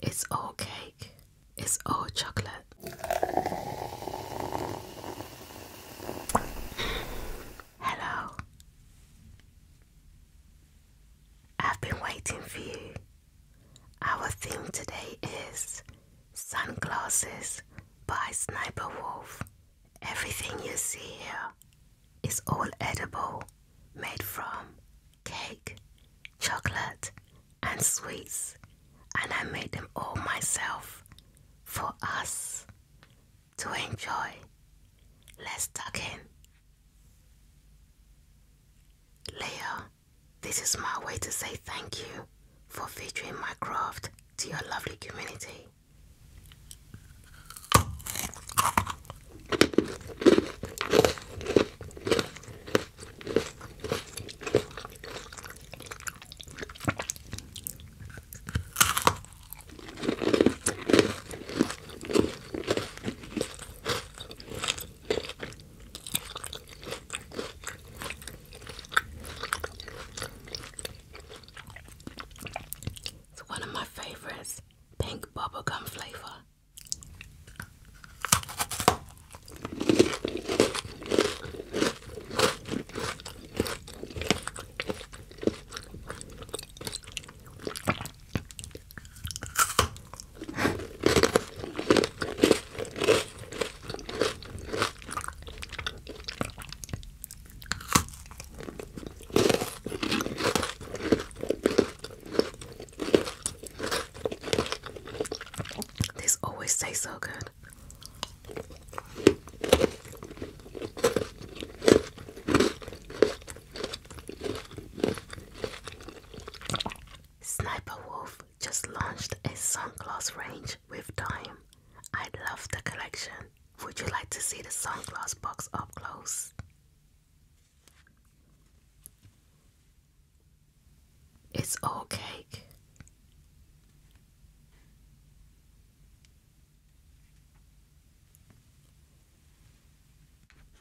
It's all cake, it's all chocolate. Hello. I've been waiting for you. Our theme today is Sunglasses by Sniper Wolf. Everything you see here it's all edible, made from cake, chocolate, and sweets, and I made them all myself for us to enjoy. Let's tuck in. Leo, this is my way to say thank you for featuring my craft to your lovely community. It's one of my favorites pink bubblegum flavor. This always taste so good. Sniper Wolf just launched a sunglass range with Dime. I love the collection. Would you like to see the sunglass box up close? It's all cake.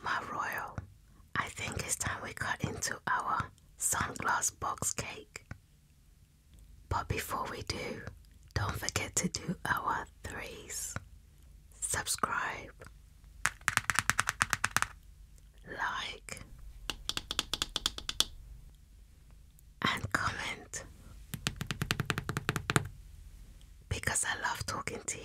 My royal, I think it's time we cut into our sunglass box cake. But before we do, don't forget to do our threes subscribe, like, and comment because I love talking to you.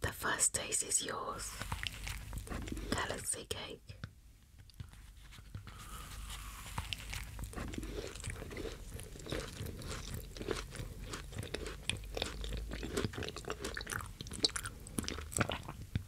The first taste is yours, Galaxy Cake.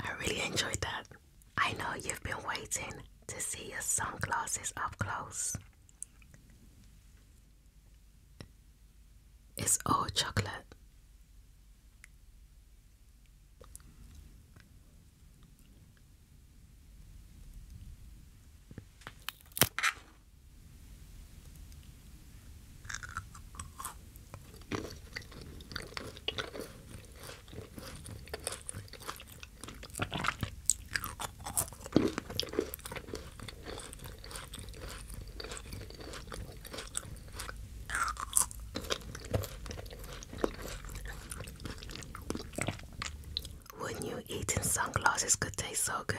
I really enjoyed that. I know you've been waiting to see your sunglasses up close. It's all chocolate. Wouldn't you in sunglasses could taste so good?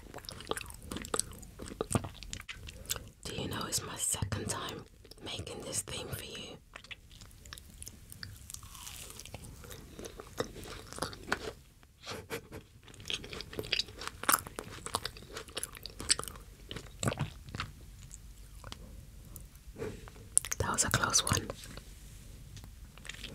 Do you know it's my second time making this theme for you? That was a close one.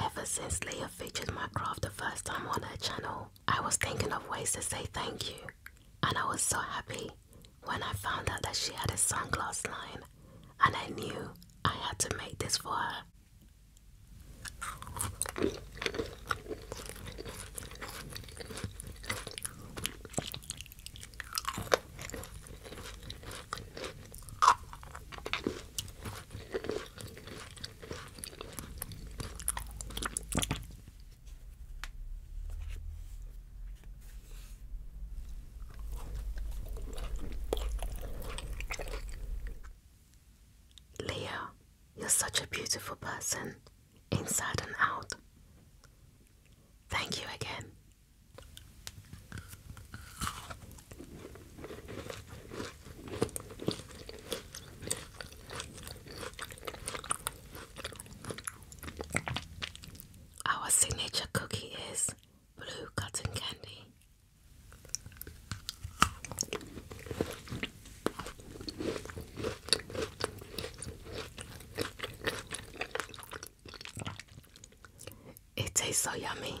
Ever since Leah featured my craft the first time on her channel, I was thinking of ways to say thank you, and I was so happy when I found out that she had a sunglass line, and I knew I had to make this for her. Leo, you're such a beautiful person inside and out. Thank you again. Our signature cookie is blue cotton candy. It tastes so yummy.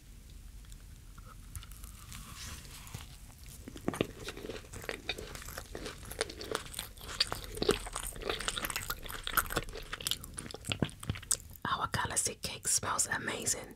Our galaxy cake smells amazing.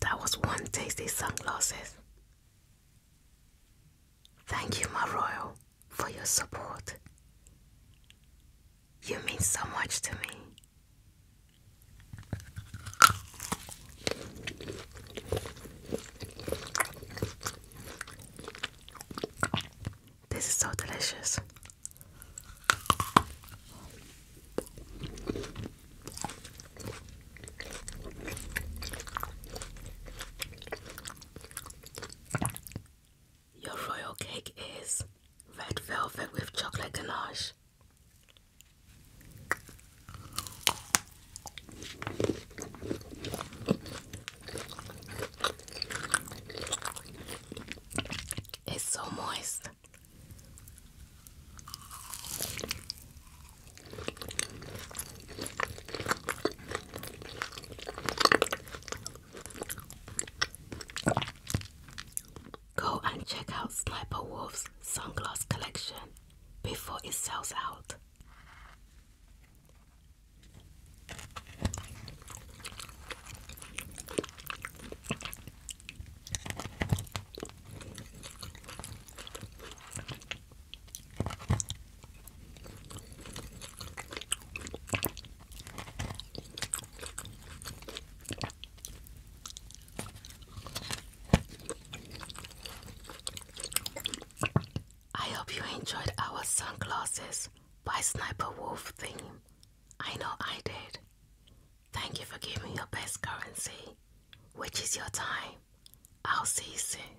That was one tasty sunglasses. Thank you, my royal for your support. You mean so much to me. This is so delicious. Your royal cake is red velvet with chocolate ganache. It's so moist. Go and check out Sniper Wolf's sunglass collection before it sells out. I hope you enjoyed our sunglasses by Sniper Wolf theme. I know I did. Thank you for giving your best currency, which is your time. I'll see you soon.